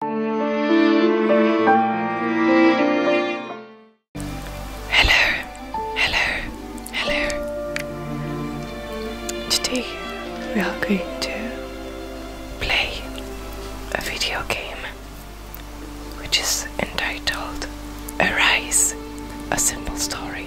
Hello, hello, hello. Today we are going to play a video game which is entitled Arise, a simple story.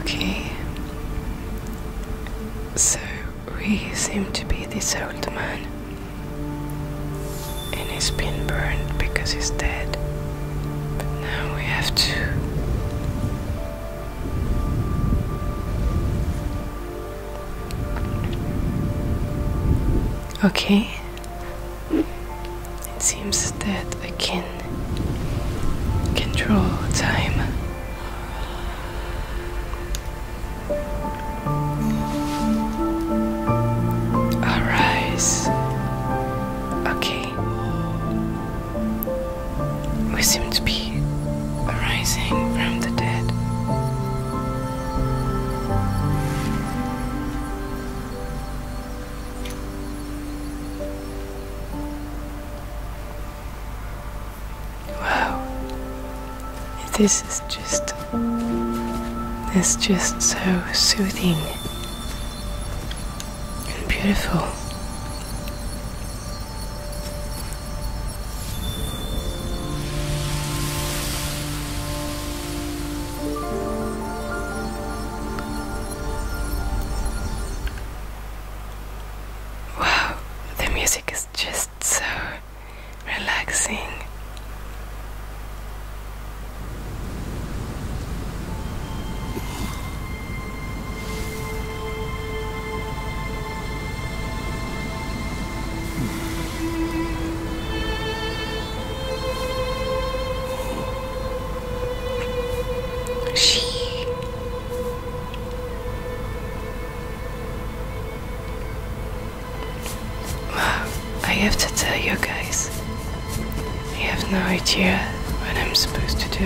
Okay. So we seem to be this old man. And he's been burned because he's dead. But now we have to. Okay, it seems that I can control time. Arise. Okay. We seem to be arising from the dead. Wow. This is just. It's just so soothing and beautiful. Wow, the music is just so relaxing. She I have to tell you guys. I have no idea what I'm supposed to do.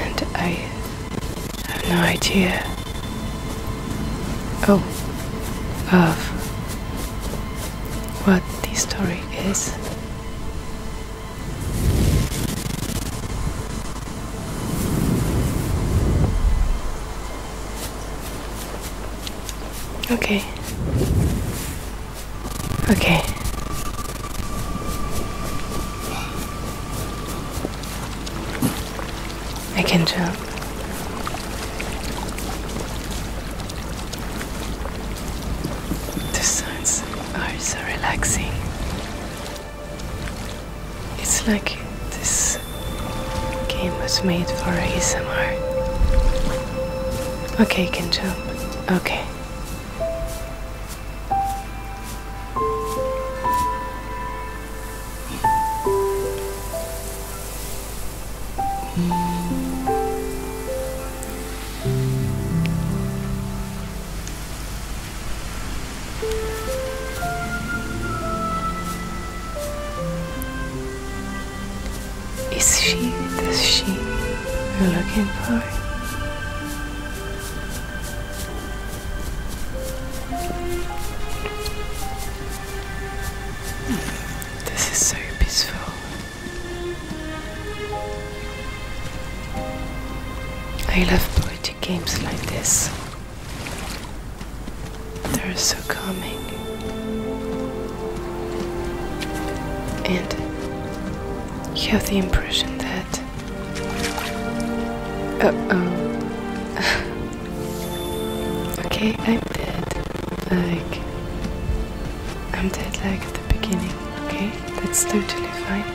And I have no idea. Oh, of what this story Yes. Okay. Okay. I can jump. The sounds are so relaxing. It's like this game was made for ASMR. Okay, can jump. Okay. Is she the she we're looking for? This is so peaceful. I love poetic games like this. They're so calming. And you have the impression that. Uh oh. okay, I'm dead. Like. I'm dead like at the beginning, okay? That's totally fine.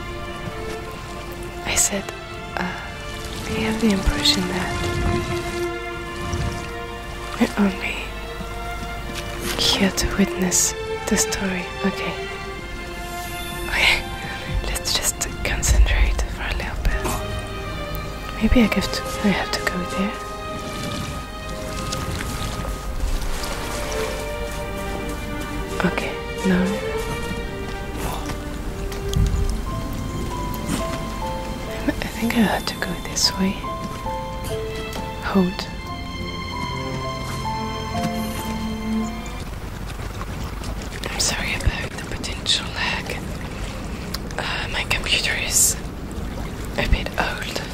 I said, uh, I have the impression that we're only here to witness the story, okay? Okay, let's just concentrate for a little bit. Maybe I have to, I have to go there. Okay, now. I think I had to go this way. Hold. I'm sorry about the potential lag. Uh, my computer is a bit old.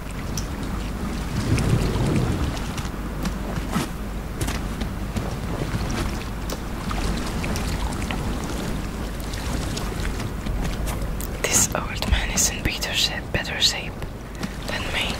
This old man is in better shape, better shape than me.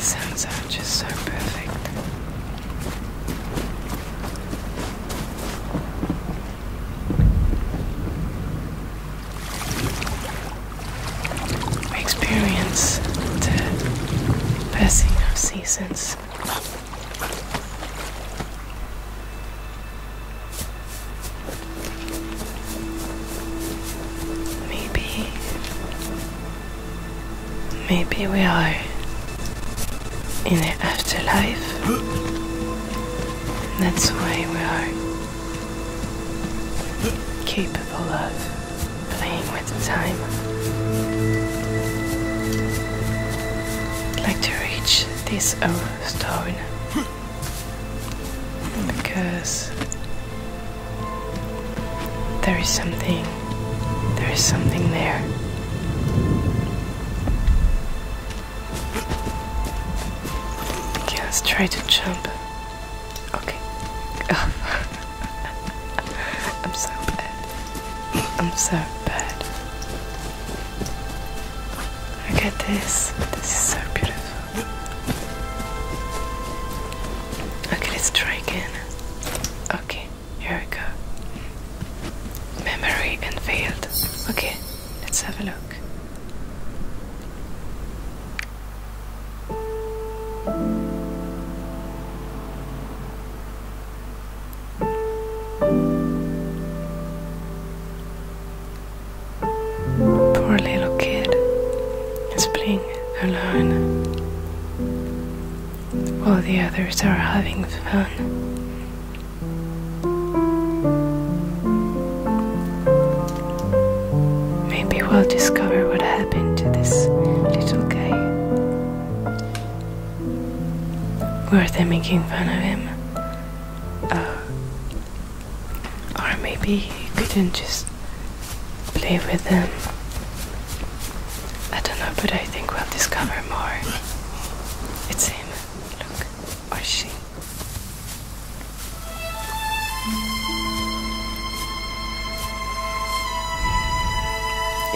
Sounds are just so perfect. experience the passing of seasons. Maybe. Maybe we are in the afterlife. That's why we are capable of playing with at a time. I'd like to reach this stone because there is something, there is something there. Okay, let's try to jump. Okay. I'm so bad. I'm so bad. Look at this. This is so beautiful. Okay, let's try again. Okay, here we go. Memory unveiled. Okay, let's have a look. Poor little kid is playing alone while the others are having fun. Maybe we'll discover what happened to this little guy. Were they making fun of him? Uh, or maybe he couldn't just play with them. I don't know, but I think we'll discover more. It's him. Look. Or she.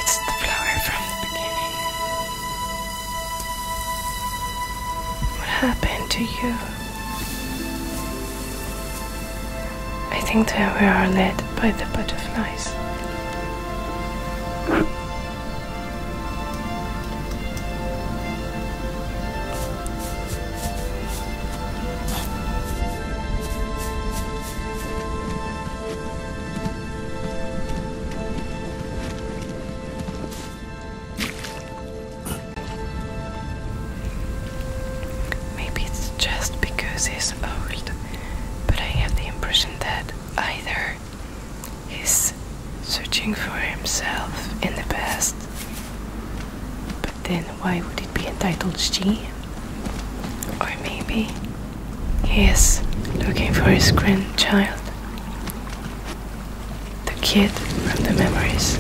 It's the flower from what happened to you? I think that we are led by the butterflies. Maybe it's just because he's old, but I have the impression that either he's searching for himself in the past, but then why would it be entitled she? Or maybe he is looking for his grandchild. The kid from the memories.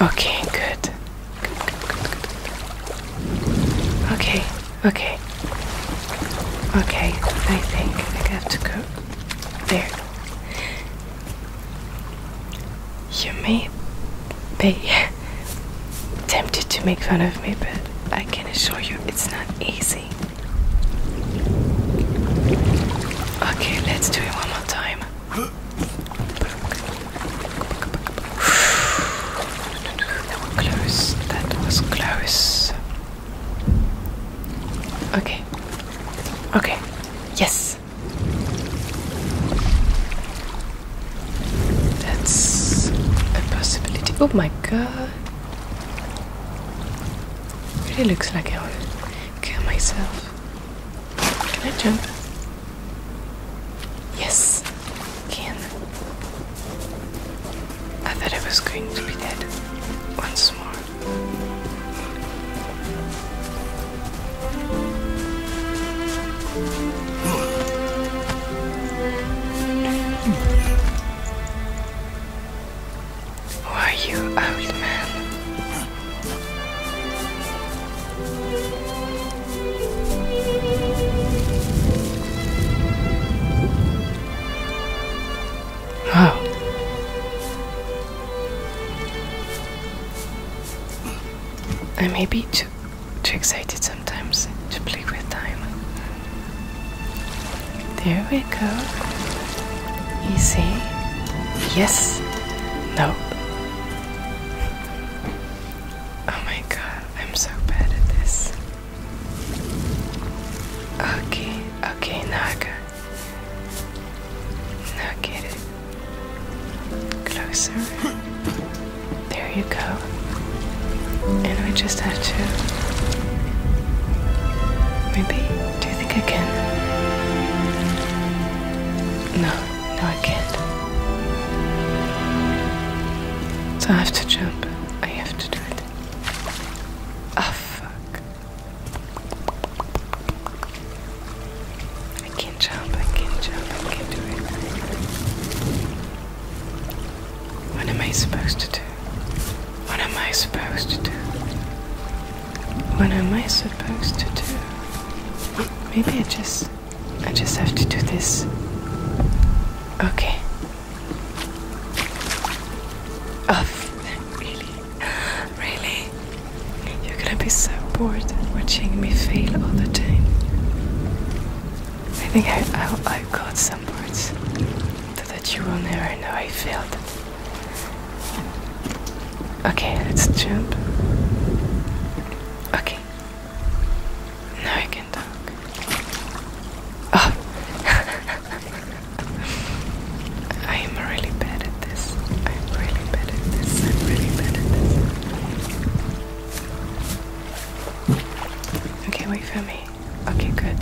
Okay, good. Okay, okay. Okay, I think I have to go. There. You may be tempted to make fun of me, but I can assure you it's not easy. Okay, let's do it one more time. that was close. That was close. Okay. Okay. Yes. That's a possibility. Oh my god. Really looks like I will kill myself. Can I jump? Yes, can. I thought I was going to be dead once more. Who you, old man? Oh. I may be too too excited sometimes to play with time. There we go. Easy. Yes. No. Oh my god, I'm so bad at this. Okay, okay, now I got, now I get it. Closer. There you go. And we just have to maybe do you think I can? No, no I can't. So I have to jump. I have to do it. oh, fuck. I can jump, I can jump, I can do it. What am I supposed to do? What am I supposed to do? What am I supposed to do? Maybe I just I just have to do this. Okay. Off. Oh, really? Really? You're gonna be so bored watching me fail all the time. I think I, I, I've got some parts that you will never know I failed. Okay, let's jump. Okay. Now I can talk. Oh! I am really bad at this. I'm really bad at this. I'm really bad at this. Okay, wait for me. Okay, good.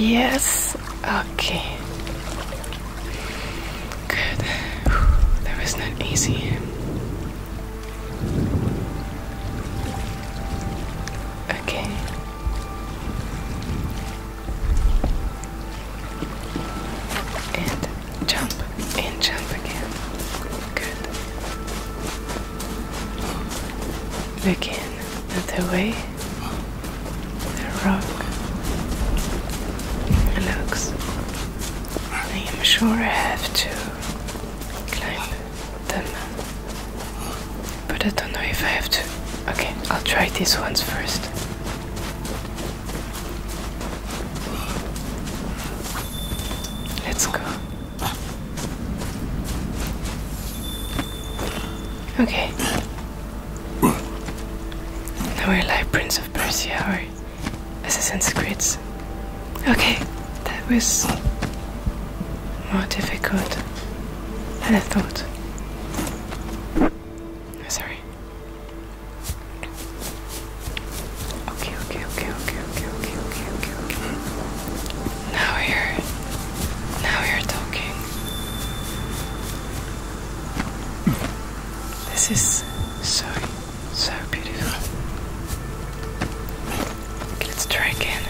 Yes. Okay. Good. that was not easy. Okay. And jump and jump again. Good. Begin at the way the rock looks. I am sure I have to climb them but I don't know if I have to. Okay, I'll try these ones first. Let's go. Okay. Now we're like Prince of Persia or Assassin's Creed. Okay, that was more difficult than I thought. Oh, sorry. Okay, okay, okay, okay, okay, okay, okay, okay, Now you're now you're talking. This is so so beautiful. let's try again.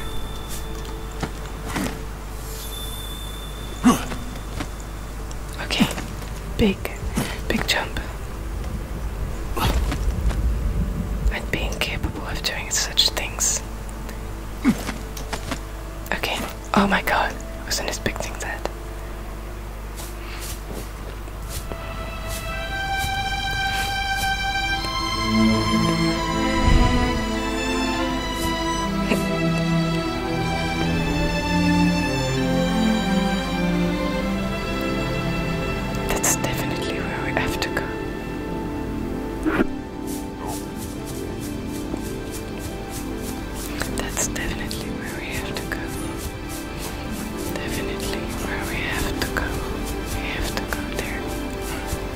Okay. Big, big jump. I'd be incapable of doing such things. Okay. Oh my god. I wasn't expecting that. That's definitely where we have to go. That's definitely where we have to go. Definitely where we have to go. We have to go there.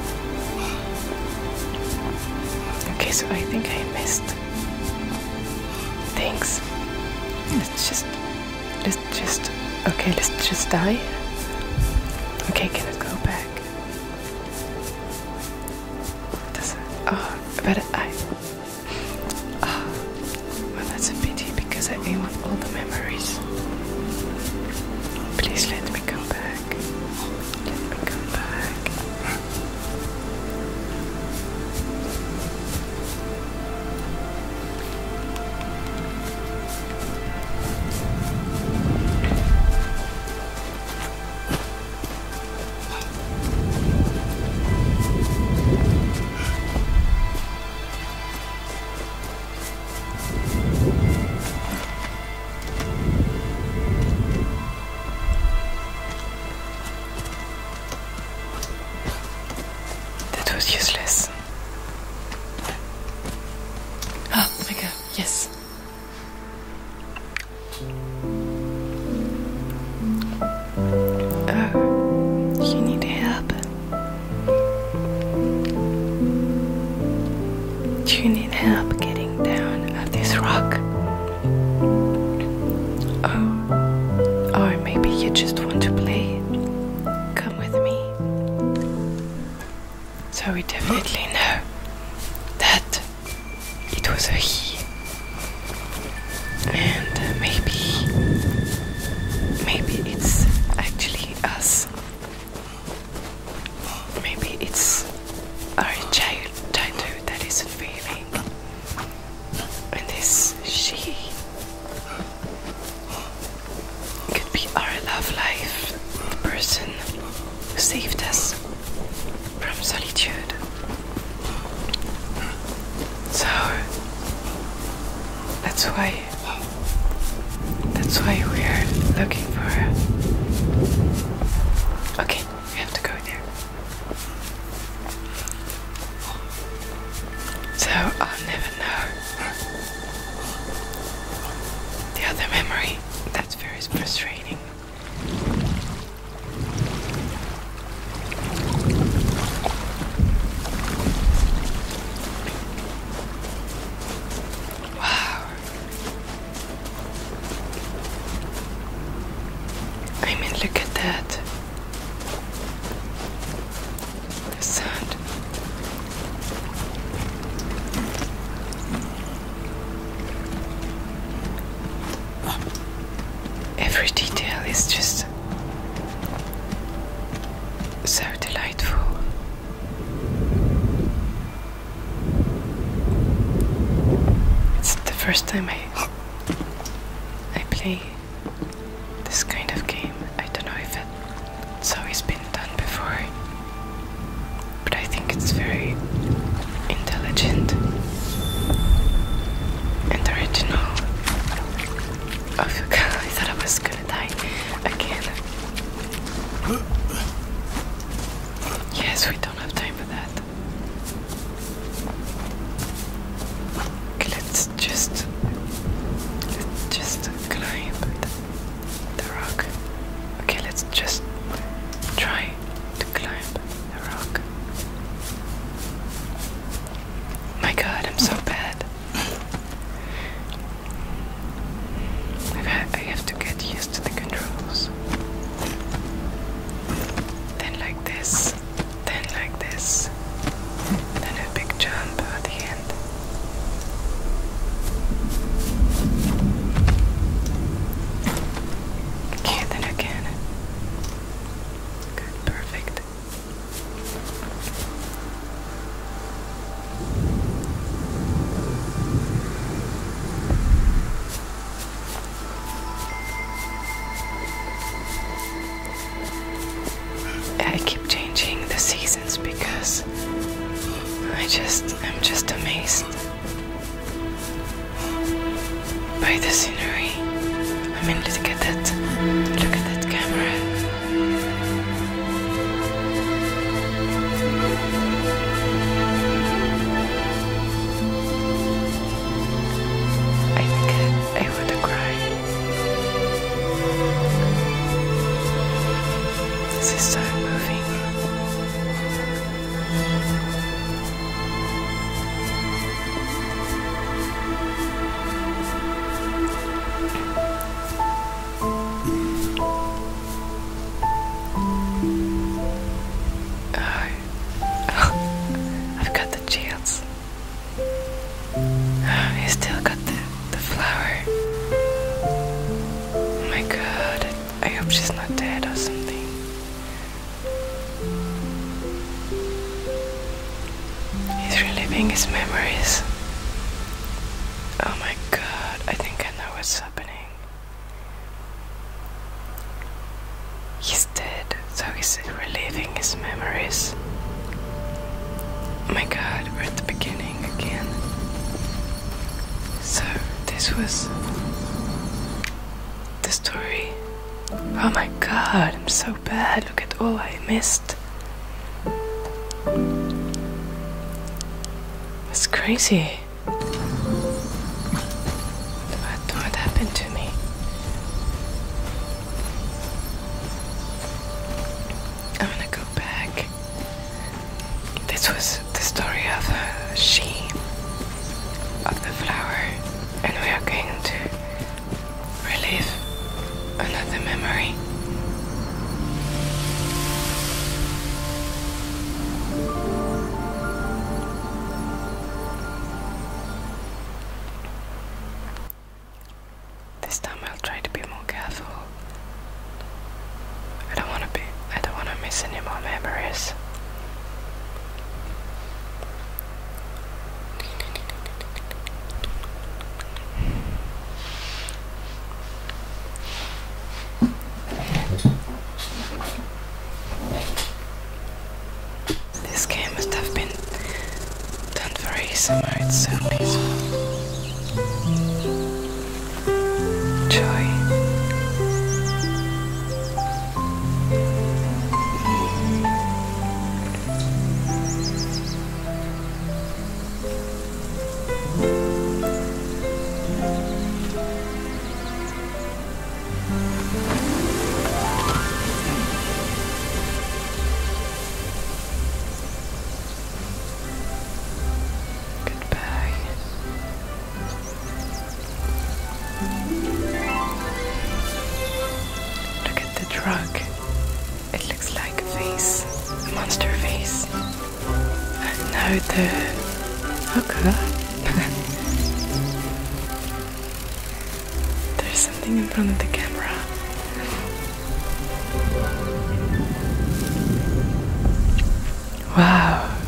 Okay, so I think I missed things. Let's just, let's just, okay, let's just die. Okay, can I go back? Doesn't, oh, but I, oh, well that's a pity because I want all the memories. Please let me come back back. Let me come back. That was useless. Oh my god, yes. Oh, you need help. Do you need help getting down off this rock? Oh, or maybe you just want to play? Come with me. So we definitely know that it was a he. And maybe, maybe it's actually us. Maybe it's our child childhood that isn't failing. And this she could be our love life, the person who saved us from solitude. So that's why that's why we're looking for her. Okay. We have to go there. So I'll never know the other memory. That's very frustrating. Wow. I mean, look at that. The sand. Every detail is just so delightful. It's the first time I I play this kind of game. I don't know if it's always been done before, but I think it's very intelligent and original. Oh, God, I thought I was gonna die again. Yes, we don't have time for that. Okay, let's just let's just climb the, the rock. Okay, let's just try to climb the rock. My God, I'm so bad. I have to get used to the controls. Then like this, then like this, then a big jump at the end. Okay, then again. Good, perfect. I keep changing the seasons because I just I'm just amazed by the scenery. I mean look at that look at that camera. I think I, I would cry. This is so moving. Oh, I've got the chills. Oh, still got the, the flower. Oh my god, I hope she's not dead or something. He's reliving his memories. Oh my god, I think I know what's happening. He's dead, so he's reliving his memories. Oh my god, we're at the beginning again. So, this was the story. Oh my god, I'm so bad. Look at all I missed. It's crazy. What, happened to me? I'm gonna go back. This was the story of uh, she, of the flower, and we are going to relive another memory. This time I'll try to be more careful. I don't want to be I don't want to miss any more memories. This game must have been done for ASMR, it's so peaceful. Joy. Goodbye. Look at the drug. It looks like a face, a monster face. And now the. Oh god. There's something in front of the camera. Wow.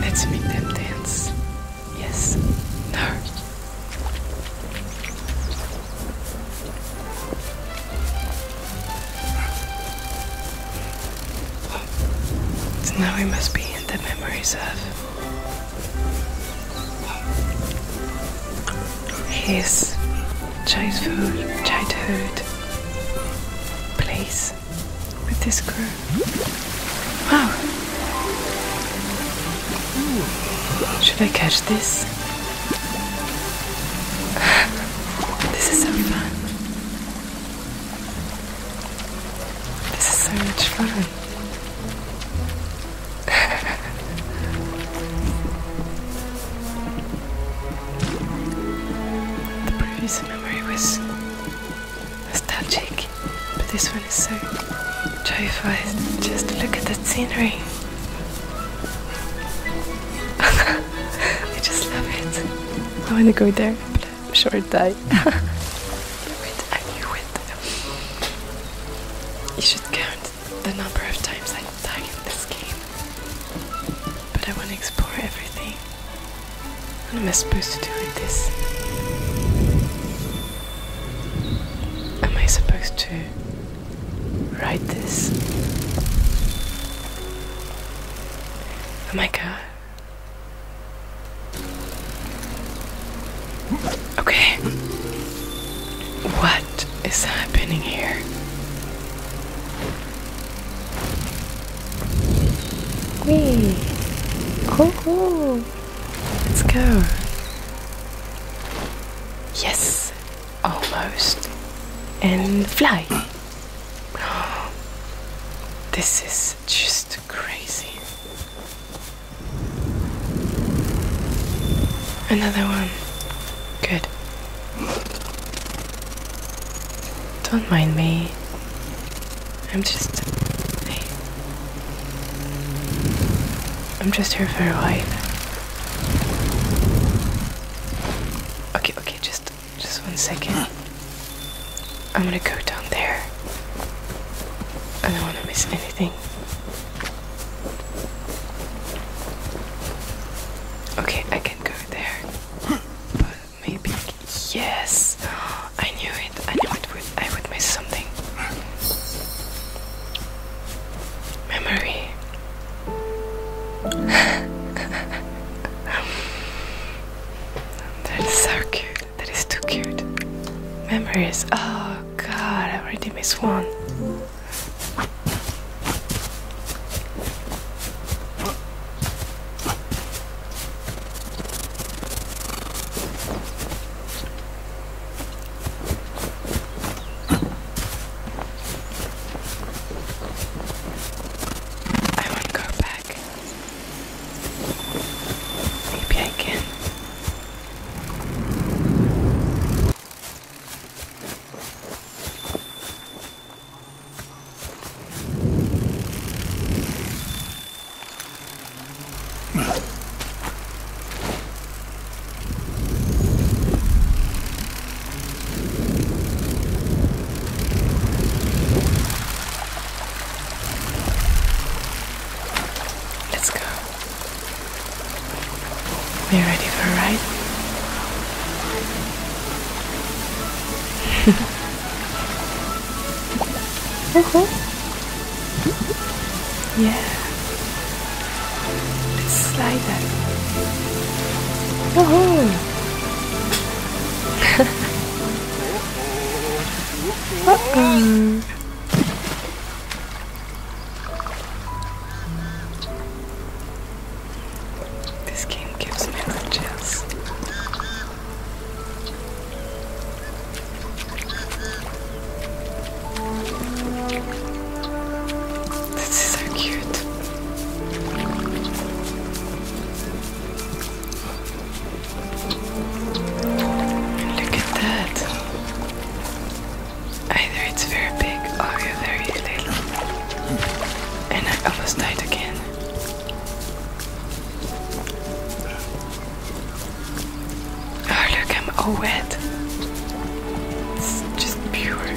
Let's make them dance. Yes. No now we must be in the memories of his childhood, childhood place with this crew. Wow! Should I catch this? this is so fun. This is so much fun. the previous memory was nostalgic, but this one is so joyful. Just look at that scenery. I just love it. I want to go there, but I'm sure I'll I knew it. You should count the number of times I die in this game. But I want to explore everything. What am I supposed to do with this? Am I supposed to write this? Oh my god. Okay. What is happening here? Wee. Cool, cool. Let's go. Yes. Almost. And fly. This is just crazy. Another one. Good. Don't mind me. I'm just. I'm just here for a while. Okay, okay, just just one second. I'm gonna go down there. I don't wanna miss anything. Okay, I can go there. But maybe yes. I knew it. I knew it would I would miss something. Memory. that is so cute. That is too cute. Memories. Oh god, I already missed one. I want to go back. Maybe I can. Let's go. Are ready for a ride? uh -huh. Yeah. Let's slide that. Woohoo! Uh-huh uh -oh. This game gives me the chills. This is so cute. Look at that. Either it's very big or you're very little. And I almost died again. Oh, look, I'm all wet. It's just pure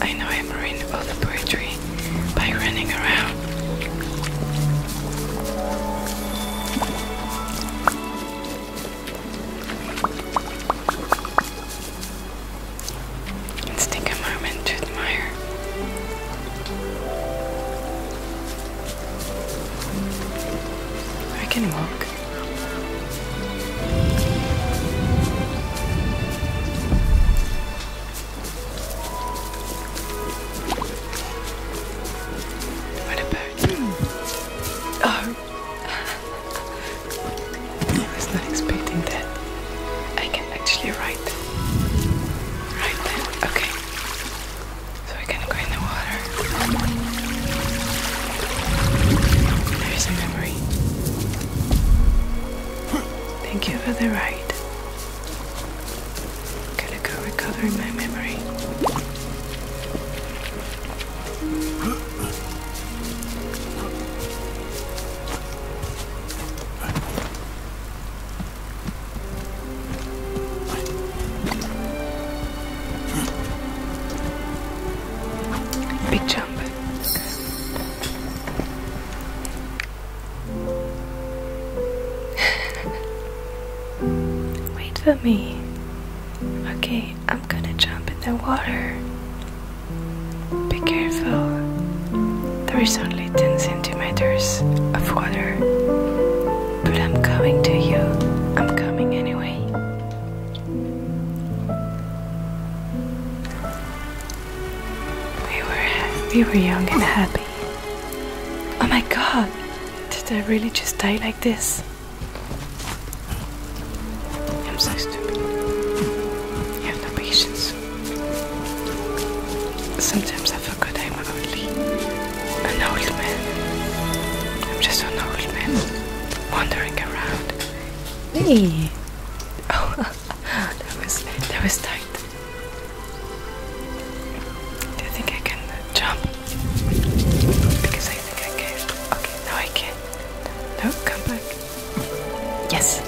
i know I'm ruining all the poetry by running around. Let's take a moment to admire I can walk. What about you? Oh. I was not expecting that. I can actually write. Right then. Okay. So we're gonna go in the water. There is a memory. Thank you for the ride. i to go recover my memory jump. Wait for me. Okay, I'm gonna jump in the water. Be careful. There is only 10 centimeters of water. But I'm coming to you, I'm coming anyway. We were, we were young and happy. Oh my god! Did I really just die like this? I'm so stupid. I have no patience. Sometimes I forgot I'm only an old man. I'm just an old man wandering around. Me? Oh, that was that was tight. Do you think I can jump? Because I think I can. Okay, now I can. No, come back. Yes.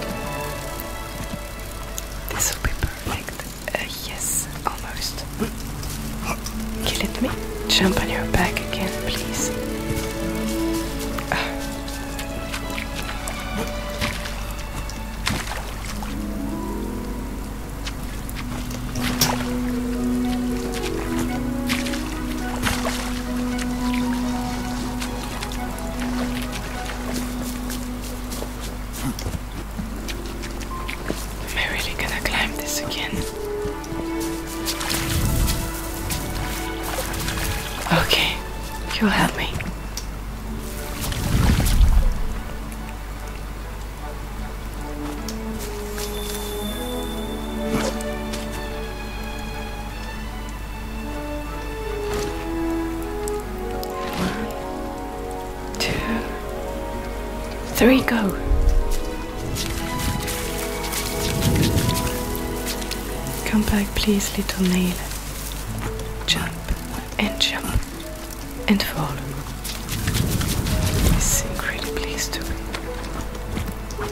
This will be perfect. Uh, yes, almost. Give it me. Jump on your back again, please. Am I really gonna climb this again? Okay, you will help me two, three, go. Come back, please, little nail. Jump and jump and fall. It's incredibly stupid.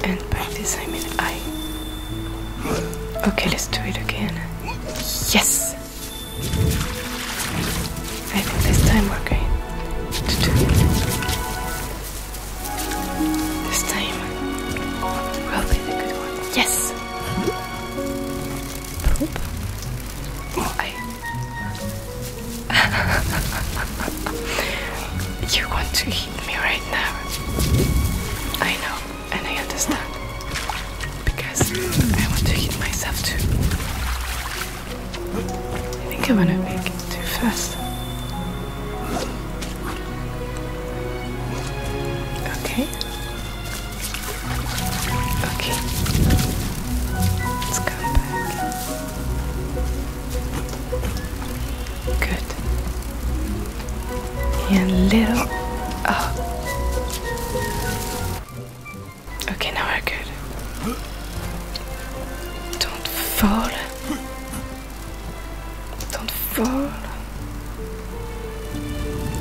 And by this I mean I. Okay, let's do it again. Yes! I think this time we're going to do it. This time will be the good one. Yes! Oh, I. you want to hit me right now. I know, and I understand because I want to eat myself too. I think i want to make it too fast. Okay. Okay. Let's come back. Good. And little. Oh. Okay, now we're good. Don't fall. Don't fall.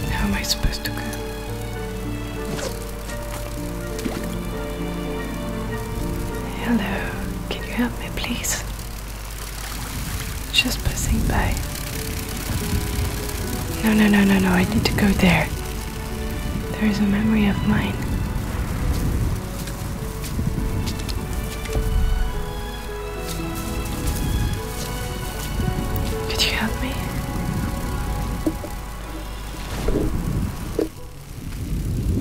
How am I supposed to go? Hello, can you help me please? Just passing by. No, no, no, no, no, I need to go there. There is a memory of mine. Could you help me?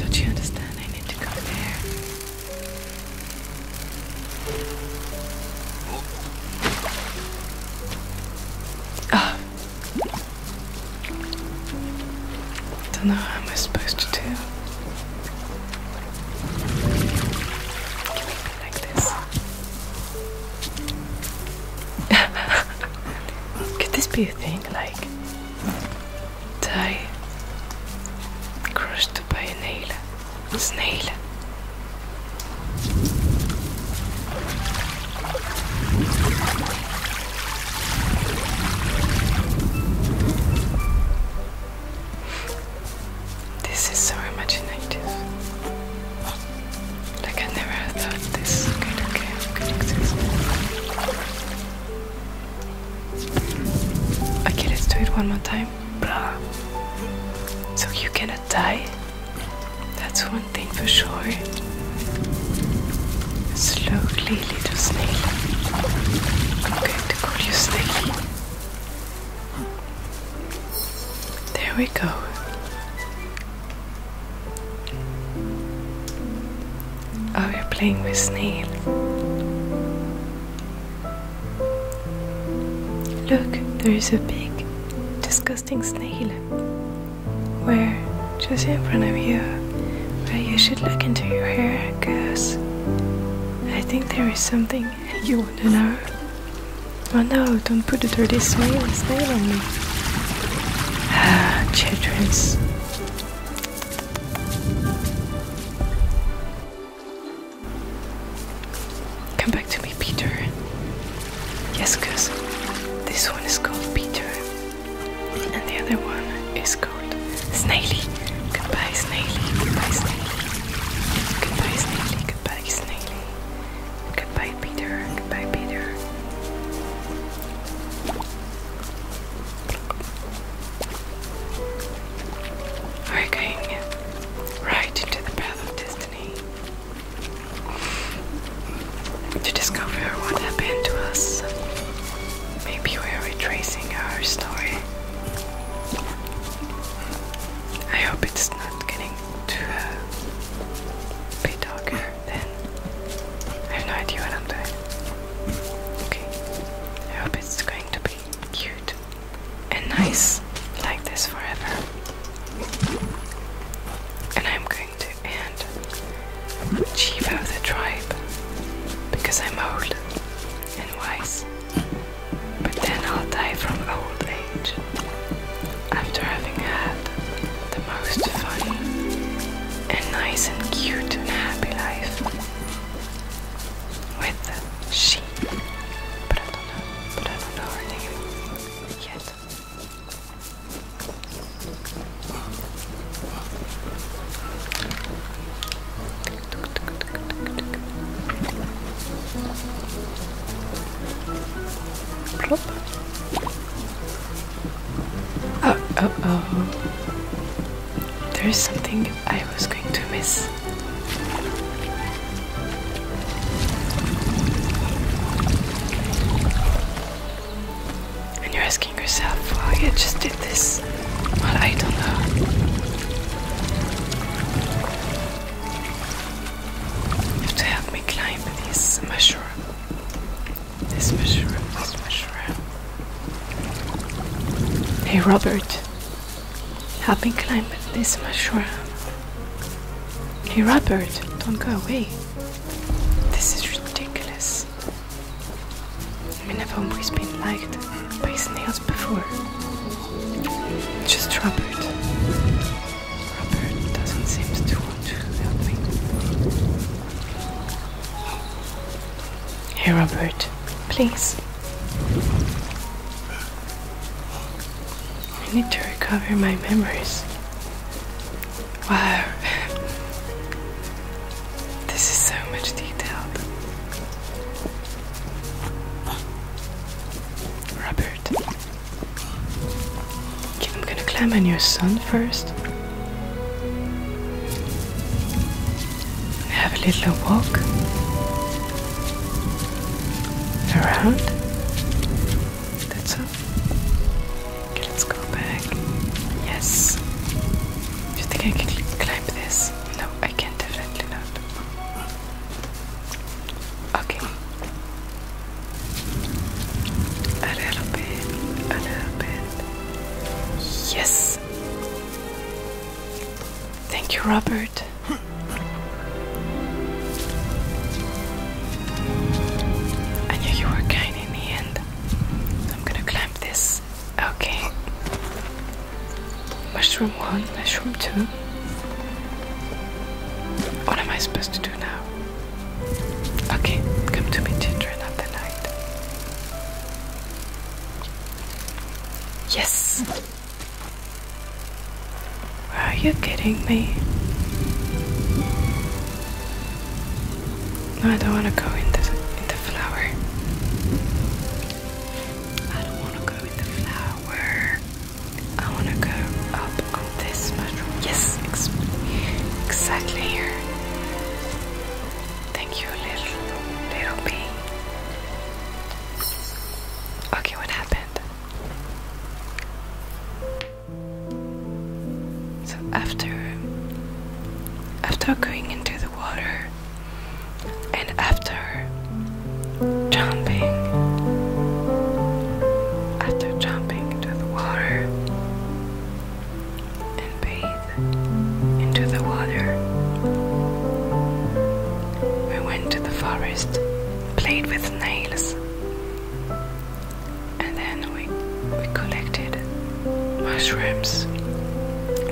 Don't you understand? I need to go there. Ah, don't know how I'm supposed to do. Like this. Could this be a thing? Like tie crushed by a nail, snail, this is so imaginative. Like I never thought this kind of game could exist. Okay, let's do it one more time. Blah. So you can die. That's one thing for sure. Slowly, little snail. I'm going to call you snail. There we go. Oh, you're playing with snail. Look, there is a big, disgusting snail where just in front of you where you should look into your hair because I think there is something you want to know. Oh no, don't put the dirty snail, snail on me. Ah, children's to me, Peter. Yes, cuz this one is called Peter, and the other one is called Snaily. Goodbye, Snaily. Goodbye, Snaily. Goodbye, Snaily. Goodbye, Snaily. Goodbye, Peter. Goodbye, Peter. We're going right into the path of to discover what happened to us. Maybe we're retracing our story. I hope it's not getting too uh, dark. then. I have no idea what I'm doing. Okay. I hope it's going to be cute and nice like this forever. And I'm going to and chief of the tribe because I'm old and wise. But then I'll die from old age after having had the most funny and nice and cute and happy life with she. But I don't know, but I don't know her name yet. Oh, oh, oh. There is something I was going to miss. And you're asking yourself why I just did this. Well, I don't know. have to help me climb this mushroom. This mushroom, this mushroom. Hey, Robert. Help me climb this mushroom. Hey, Robert, don't go away. This is ridiculous. I mean, I've always been liked by his nails before. Just Robert. Robert doesn't seem to want to help me. Hey, Robert, please. I need to recover my memories. Wow. this is so much detail, Robert. I'm gonna climb on your son first. Have a little walk around. That's all let's go back. Yes. Do you think I can climb this? No, I can definitely not. Okay. A little bit, a little bit. Yes. Thank you, Robert. I knew you were kind in the end. I'm gonna climb this. Okay. Mushroom one, mushroom two. What am I supposed to do now? Okay, come to me, children of the night. Yes! Are you kidding me? No, I don't want to go in the, in the flower. I don't want to go in the flower. I want to go up on this mushroom. Yes, exactly here. Thank you, little, little bee. Okay, what happened? So after after going into the water and after jumping after jumping into the water and bathed into the water we went to the forest played with nails and then we we collected mushrooms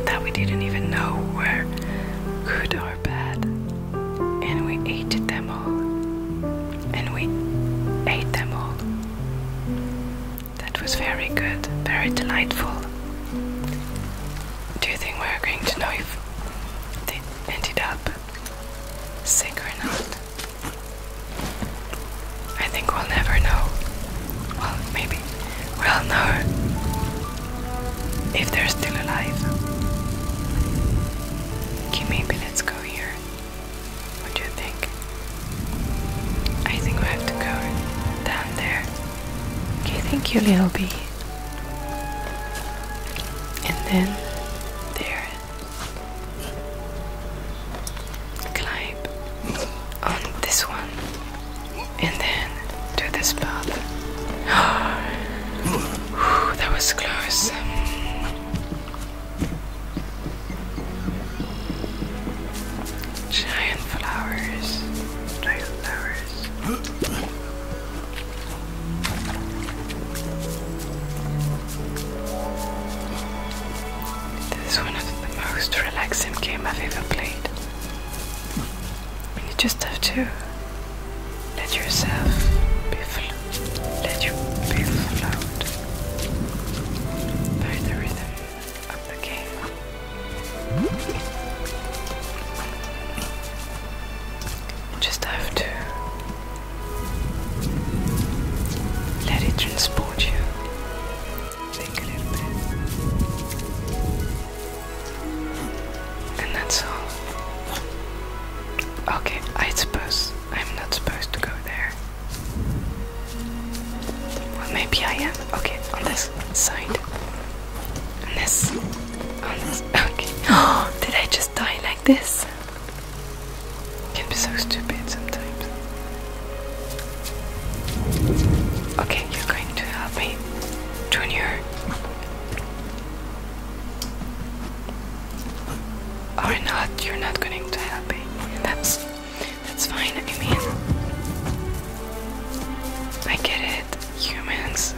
that we didn't even know were good or bad, and we ate them all, and we ate them all. That was very good, very delightful. Do you think we're going to know if they ended up sick or not? I think we'll never know. Well, maybe we'll know if they're still alive. Okay, maybe let's go here. What do you think? I think we have to go down there. Okay, thank you, little bee. And then there climb on this one and then to this path. that was close. Giant flowers. Giant flowers. This is one of the most relaxing games I've ever played. You just have to let yourself be let you be flowed by the rhythm of the game. just have to let it transport you. Think a little bit. And that's all. Okay, I suppose I'm not supposed to go there. Well, maybe I am. Okay, on this side. On this. On this. Okay. Oh, did I just die like this? It can be so stupid sometimes. Okay, you're going to help me, Junior. Or not, you're not going to help me. That's that's fine, I mean I get it. Humans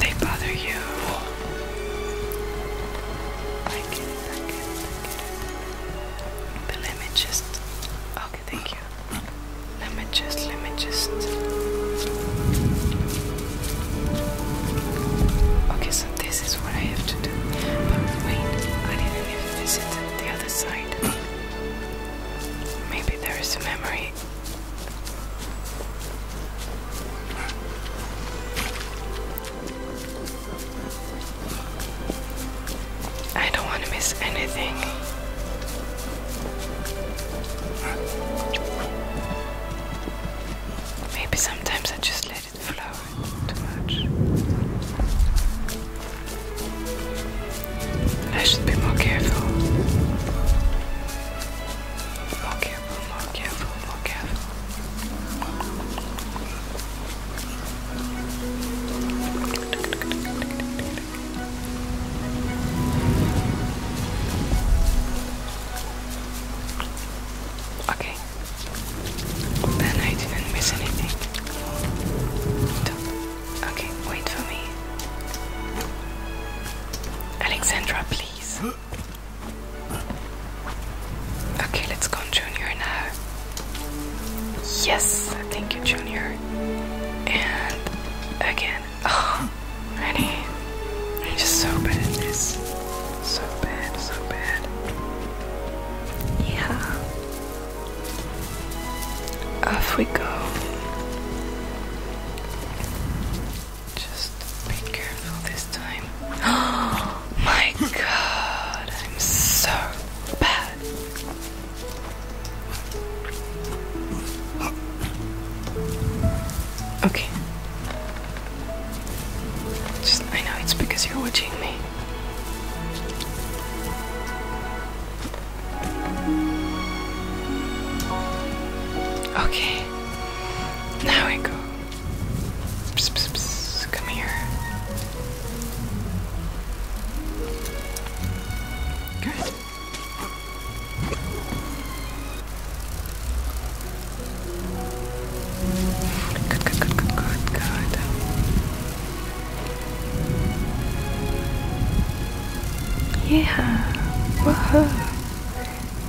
they bother you I let me just. Okay, thank you. Let me just, let me just. Okay, so this is what I have to do. But wait, I didn't even visit the other side. Maybe there is a memory. I don't want to miss anything. Maybe sometimes I just let it flow too much. I should be more careful. Okay more careful, more careful. Okay. Then I didn't miss anything. Okay, wait for me. Alexandra, please. Okay, let's go on Junior now. Yes, thank you, Junior. And again, oh, ready? i just so bad at this. So bad, so bad. Yeah. Off we go. Just be careful this time. Oh my god, I'm so bad. Okay. I know it's because you're watching me. Okay. Now I go. Come here. Good. Good, good, good, good, Yeah. Woohoo.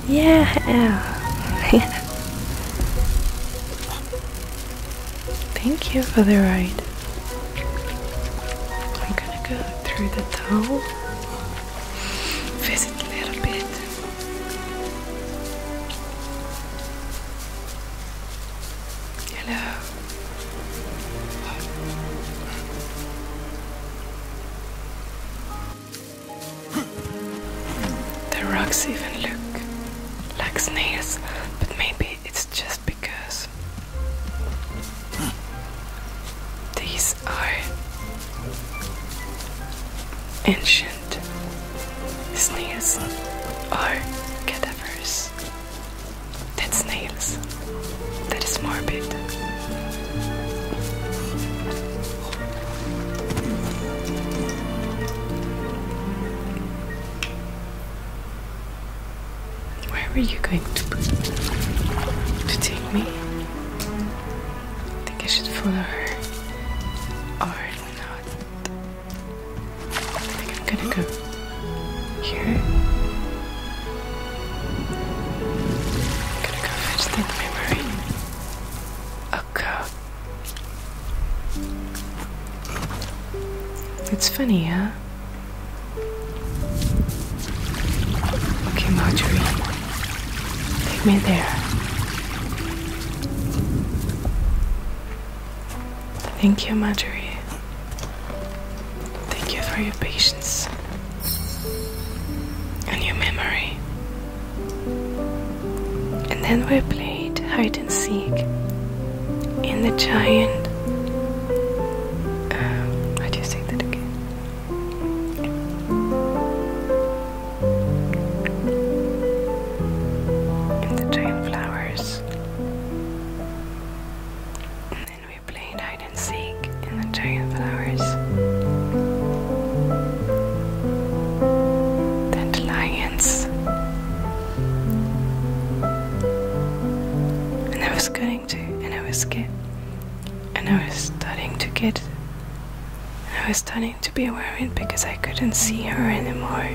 Yeah. Thank you for the ride. I'm gonna go through the towel. Visit a little bit. Hello. The rocks even look like snails, but maybe it's just because these are ancient snails or cadavers. That's snails. That is morbid. Where are you going to to take me? I think I should follow her or not. I think I'm gonna go here. I'm gonna go fetch that memory. Okay. Oh, it's funny, huh? Okay, Marjorie. Take me there. Thank you, Marjorie. Thank you for your patience and your memory. And then we played hide and seek in the giant. Um, how do you say that again? In the giant flowers. And then we played hide and seek in the giant flowers flowers, dandelions. And I was cutting to, and I was get, and I was starting to get, and I was starting to be aware of it because I couldn't see her anymore.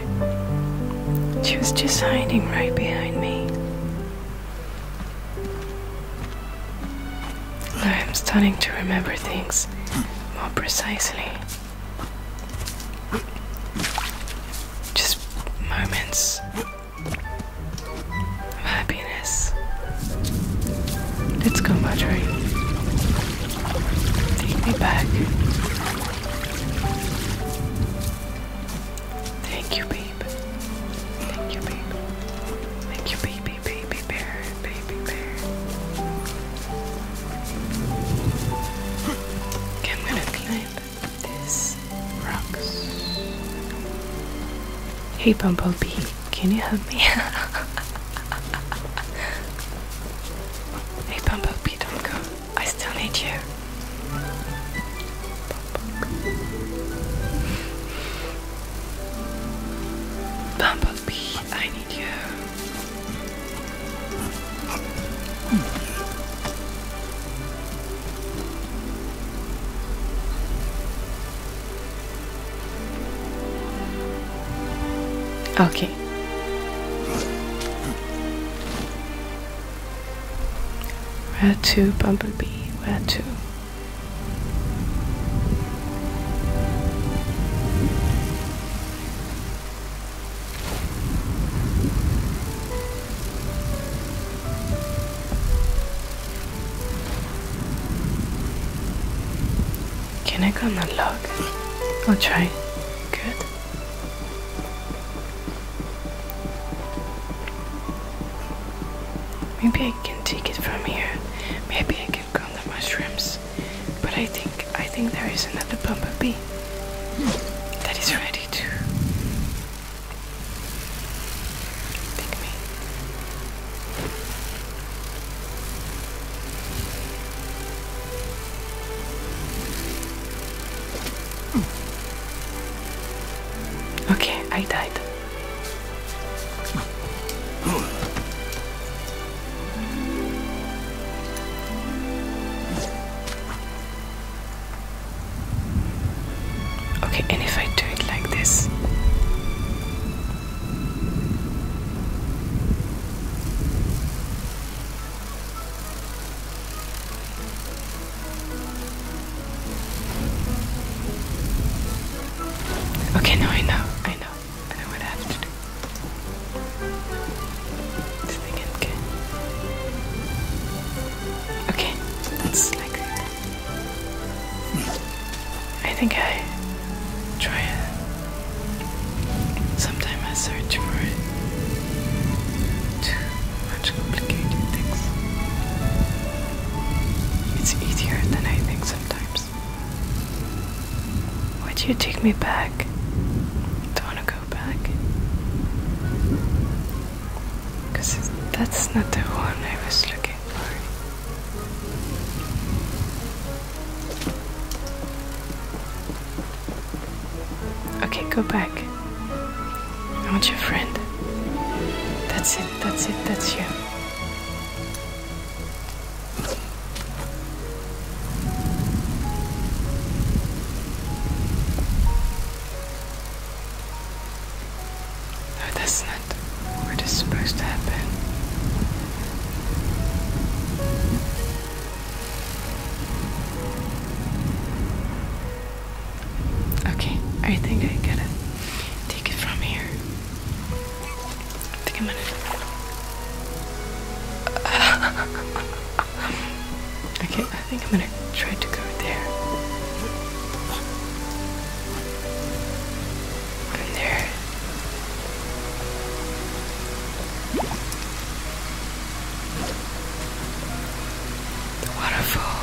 She was just hiding right behind me. I am starting to remember things more precisely. Just moments of happiness. Let's go, Marjorie. Take me back. Thank you, babe. Thank you, babe. Thank you, babe baby, bear, baby bear. Okay, I'm gonna climb this rocks. Hey Bumblebee, can you help me? hey Bumblebee, don't go. I still need you. Bumblebee, I need you. Okay. Where to, Bumblebee? Where to? Can I come and log? I'll try. Good. Maybe I can take it from here. Maybe I can count the mushrooms. But I think I think there is another bumblebee that is ready to pick me. Okay, I died. Okay, and if I do it like this. Okay, no, I know, I know and I would have to do this again. Okay, that's like that. I think I try it. sometime. I search for it. Too much complicated things. It's easier than I think sometimes. Why do you take me back? Don't want to go back. Because that's not the one I was looking for. Okay, go back. I want your friend. That's it, that's it, that's you that's not what is supposed to happen. Okay, I think I gotta take it from here. okay, I think I'm gonna try to go there. I'm there. The waterfall.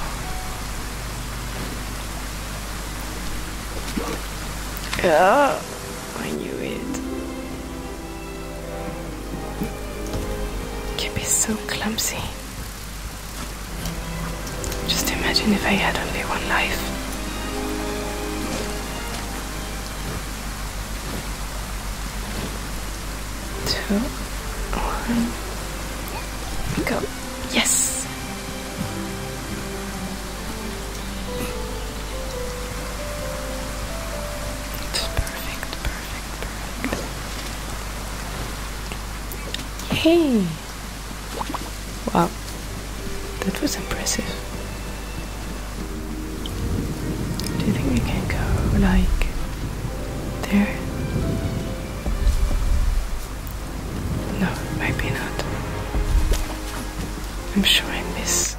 Yeah. I knew it. Can be so clumsy. Just imagine if I had only one life. Two, one, go. Yes! It's perfect, perfect, perfect. Hey! Wow, that was impressive. Do you think we can go like there? No, maybe not. I'm sure I miss.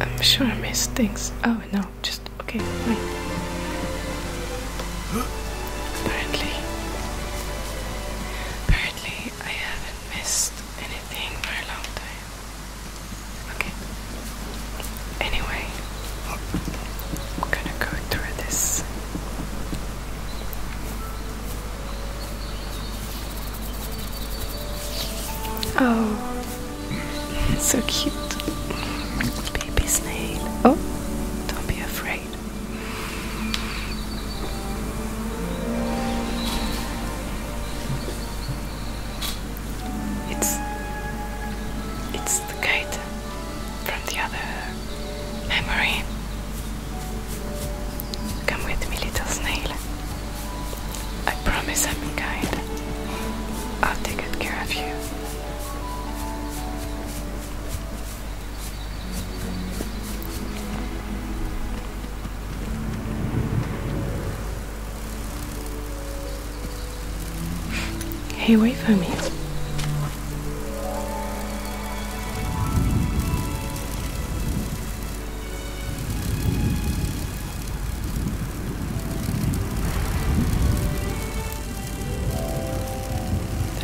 I'm sure I miss things. Oh no, just okay, wait. Apparently, apparently I haven't missed anything for a long time. Okay. Anyway, I'm gonna go through this. Oh, it's so cute. Baby snail. Oh, don't be afraid. It's it's the kite from the other memory. Come with me, little snail. I promise i am be kind. I'll take good care of you. Hey, wait for me.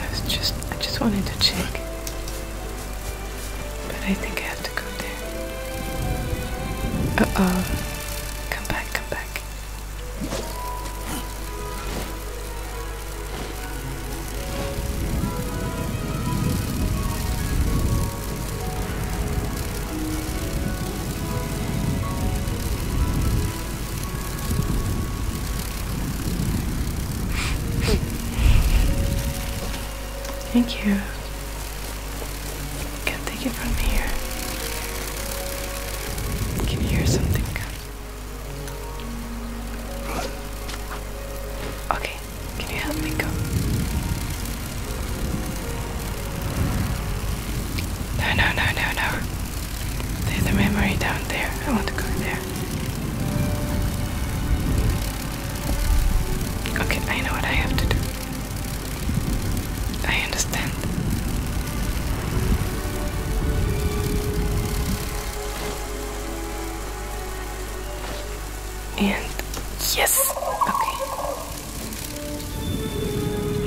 I just, I just wanted to check, but I think I have to go there. Uh oh, come back, come back. Thank you. Can't take it from here. I can hear something Okay. Can you help me go? No, no, no, no, no. There's a memory down there. I want to go there. Okay, I know what I have to do. I understand and yes, okay.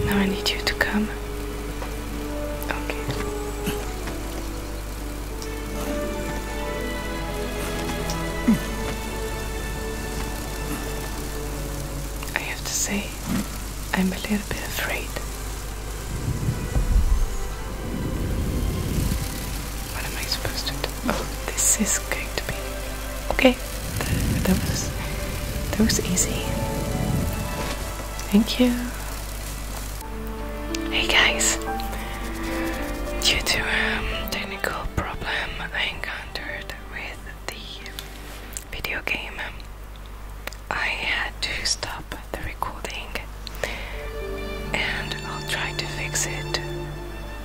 Now I need you to come. Okay. I have to say, I'm a little bit afraid. What am I supposed to do? Oh, this is going to be okay. That, was that was easy. Thank you. Hey guys, due to a um, technical problem I encountered with the video game, I had to stop the recording and I'll try to fix it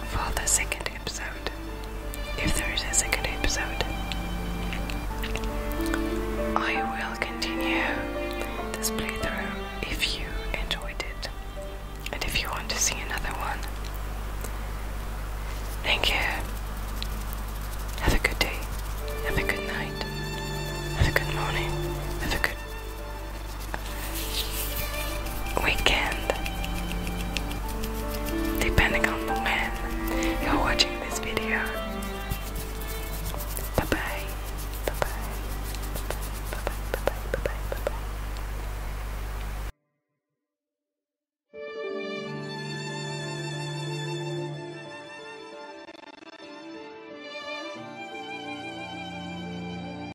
for the second episode, if there is a second episode. I will continue this playthrough if you enjoyed it and if you want to see another one. Thank you. Have a good day. Have a good night. Have a good morning. Have a good weekend. Depending on when you're watching this video. Bye bye. Bye bye. Bye bye. Bye bye. Bye bye. Bye bye.